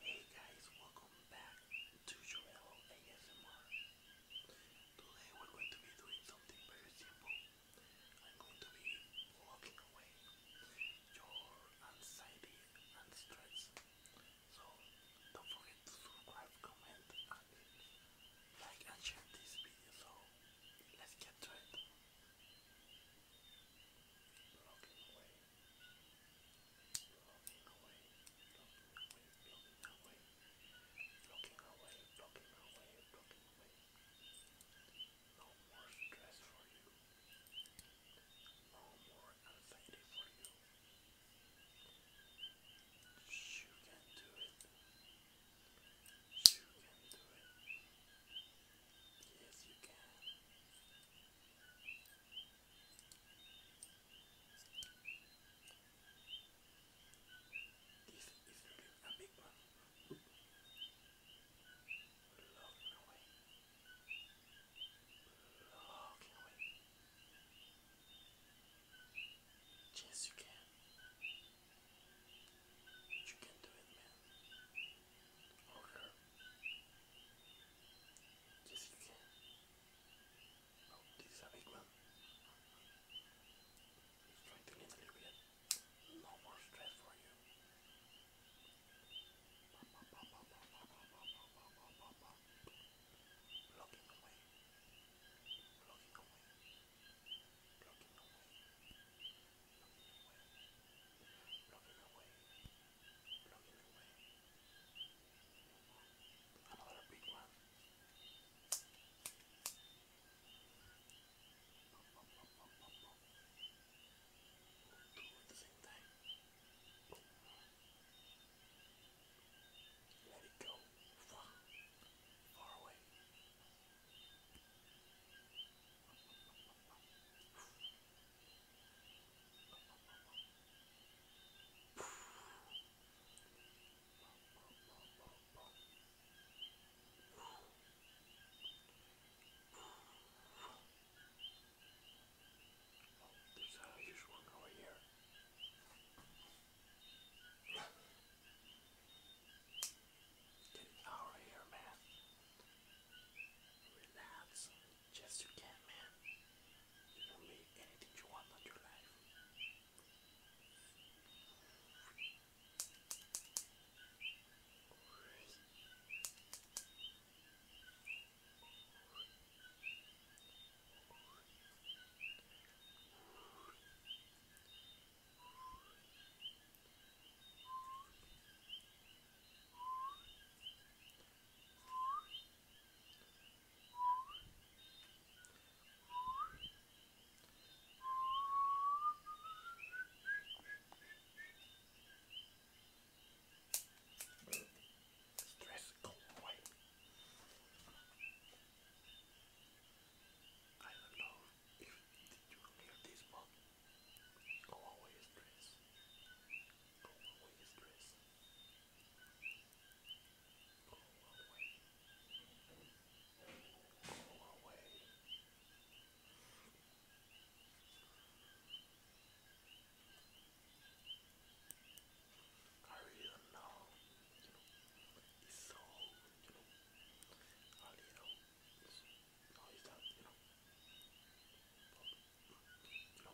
Hey guys, welcome back to Joel ASMR. Today we're going to be doing something very simple. I'm going to be walking away your anxiety and stress. So don't forget to subscribe, comment, like and share this video. So let's get to it. Walking away blocking away, blocking away, blocking away, blocking away, blocking away. No more stress for you. No more anxiety for you. You can do it. You can do it. Yes, you can. If, if you leave a big one, will locking away, locking away. Yes, you can. You can do it, man. Okay. Just Oh, this is a big one. It's trying to get a little bit no more stress for you. Blocking away. Blocking away. Blocking away. Blocking the way. Blocking the way. Another big one. Pop, pop, pop, pop, pop, pop. Two at the same time. Let it go. Far, far away. There's a huge one over here. Get it out of here, man. Relax. Yes, you can, man. You can make anything you want on your life. Relax. I don't know if you hear this, but Go away, stress. Go away, stress. Go away. Go away. I really don't know, you know, it's so, you know, a little no, is that you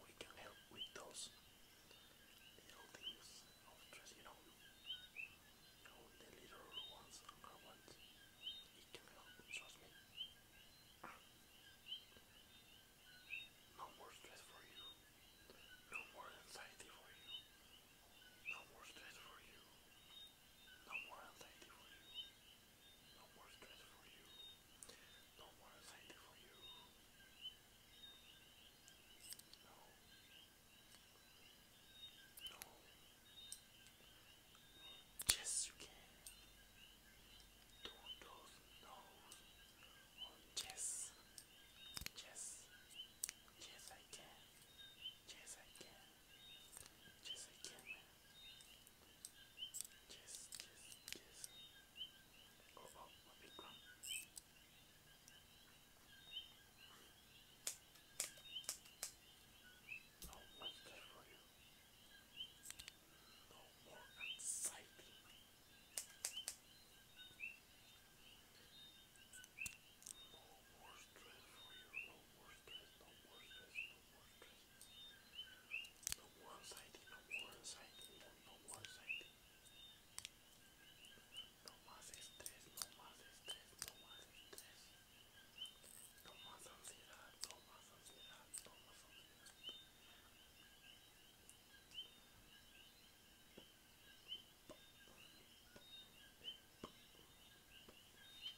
we can help with those little things of stress, you know, you know the little ones and ones. It can help, trust me. No more stress for you. No more anxiety for you. No more stress for you. No more anxiety for you. No more stress for you. No more anxiety for you. No. No. Yes, you can. Don't those no's yes. Yes. Yes, I can. Yes, I can. Yes, I can, Yes, yes, yes. Oh, oh, a big one. No monster for you. No more anxiety. No more stress for you. No more stress. No more stress. No No no más estrés, no más estrés, no más No más ansiedad, no más ansiedad, no más ansiedad.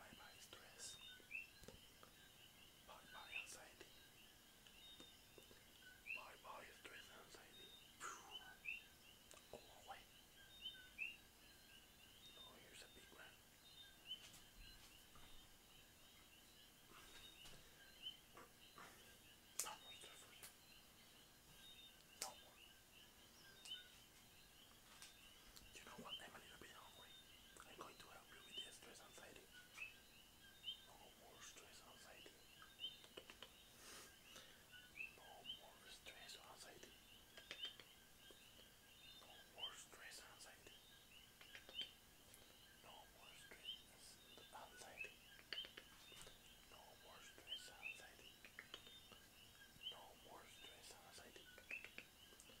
Bye bye stress. Bye bye anxiety. Bye bye stress and anxiety. Go away. Oh, here's a big one. No more stress. No more. You know what? I'm a little bit hungry. I'm going to help you with the stress anxiety. No more stress anxiety. No more stress anxiety. No more stress anxiety. No more stress anxiety. No more stress anxiety. No more stress anxiety. No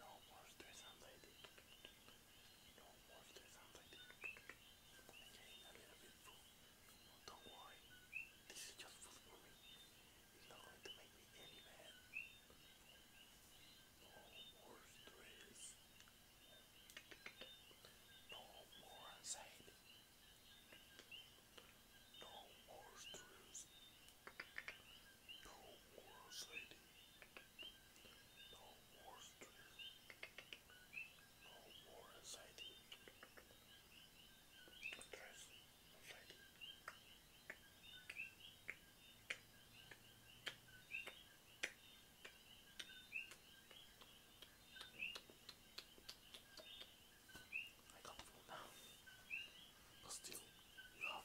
No more stress anxiety. No more stress anxiety. Again, a little bit full. don't worry, this is just for me. It's not going to make me any bad. No more stress. No more anxiety. No more stress. No more anxiety. No more stress. No more anxiety. Stress. Anxiety. I can't fall now. But still, you have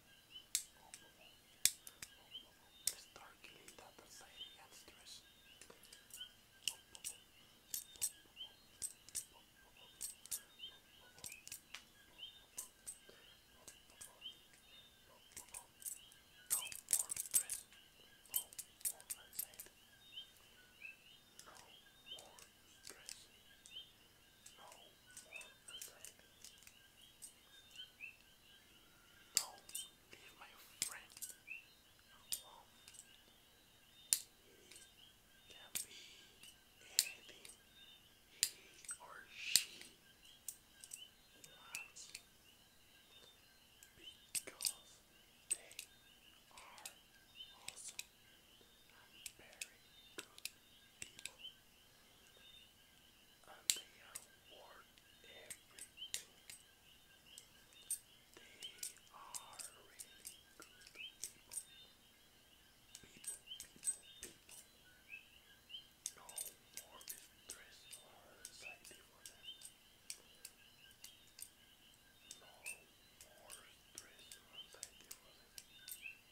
Start killing that anxiety and stress. No more stress. No more anxiety. No more stress. No no, more inside. No, leave my friend alone. He can be anything he or she wants because they are awesome very good people, and they are worth everything. They are really good people. People, people, people. No more distress or anxiety for them. No more stress or anxiety for them.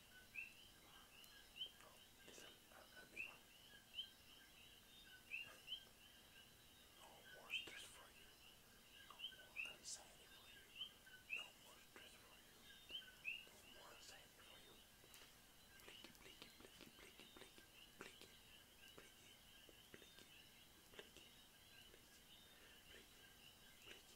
Oh, this is a, a big one. no more stress for you. No more anxiety for you. No more stress for you. No more anxiety for you. Blicky, blicky, blicky, blicky, blicky, blicky, blicky, blicky, blicky, blicky, blicky, blicky.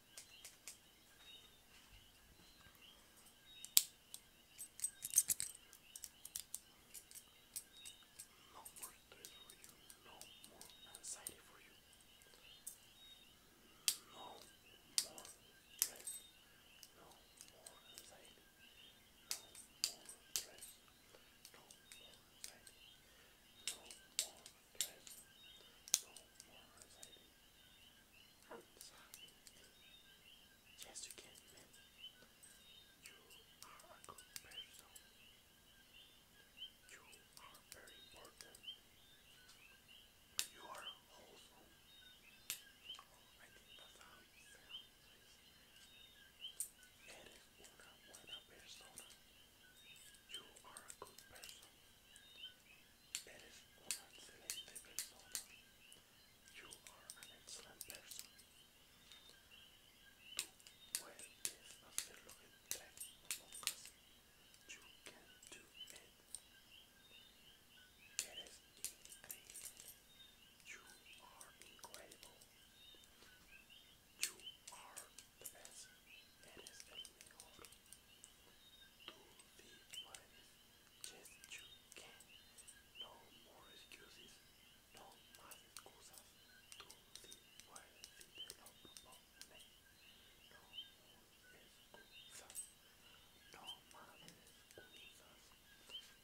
No more stress for you, no more anxiety for you, no more stress, no more anxiety, no more stress, no more anxiety, no more Okay. Yes, you are a good person. You are very important. You are wholesome. I think that's how it sounds. Eres una buena persona. You are a good person. That is an excellent persona. You are an excellent person. You can do it. You are incredible. You are Tres, Just you can. No more excuses. No más excusas. Tú sí puedes No more excusas. No más excusas.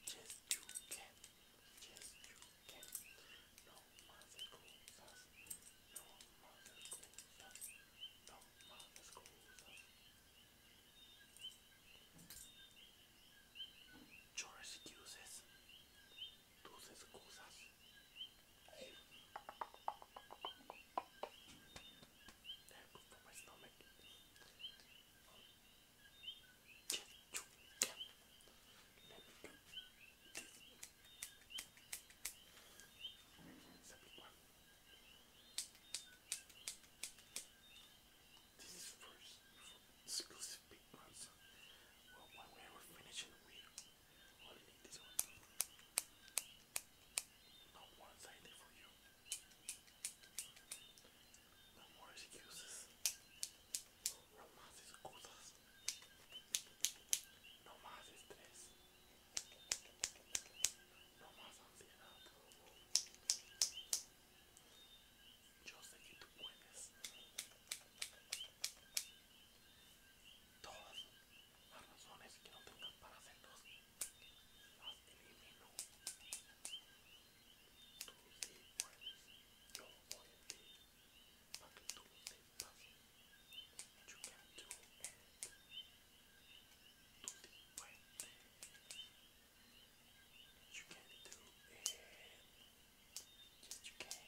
Just you can. Yes, you can. No más excusas. No mother schools us. No mother schools us. Yo excuses. Tus excusas. Hey. They're good for my stomach. Let me do it's a big one. This is first for exclusive big ones. Well, when we are finishing, we only need this one. Not one sided for you. No more excuses. No más excusas. No más estrés. No más ansiedad. Yo sé que tú puedes. Todas las razones que no tengas para hacerlos, las elimino. Tú sí puedes. Yo voy a ti para que tú sepas. nothing that you can do and to the point that you can do and that you can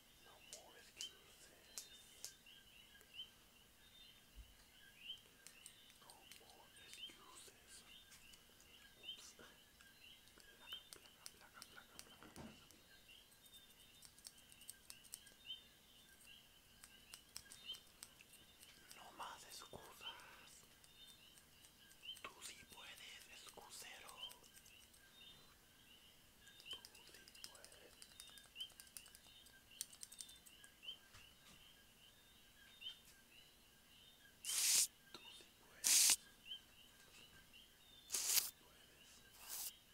and no more excuses no more excuses oops placa placa placa placa placa placa No más excusas. Tú sí puedes, excusero. Tú sí Tú sí puedes. Tú sí puedes.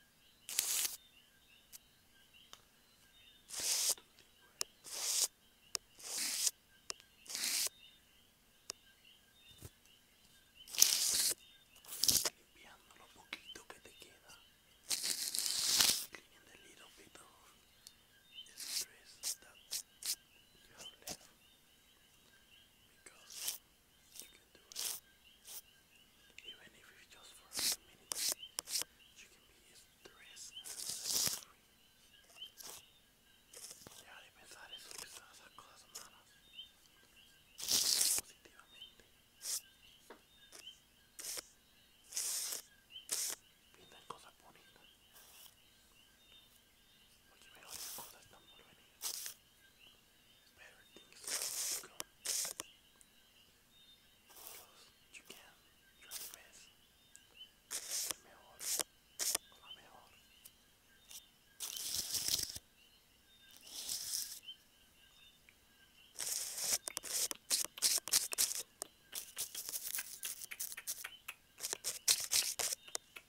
Limpiando lo poquito que te queda. Cleaning the little bit of the stress that you have left. Because you can do it. Even if it's just for a minute, you can be stressed Deja de pensar eso, quizás esas cosas son malas. Positivamente. Pinta en cosas bonitas. Porque mejores cosas están por venir better things come. Close, you can. Try your best. Lo mejor. Lo mejor. Thank you.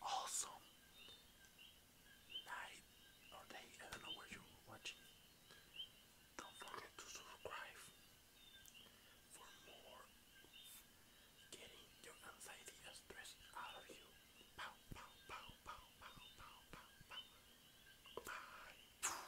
awesome night or day. I don't know where you're watching. Don't forget to subscribe for more getting your anxiety stress out of you. Pow, pow, pow, pow, pow, pow, pow, pow. Bye.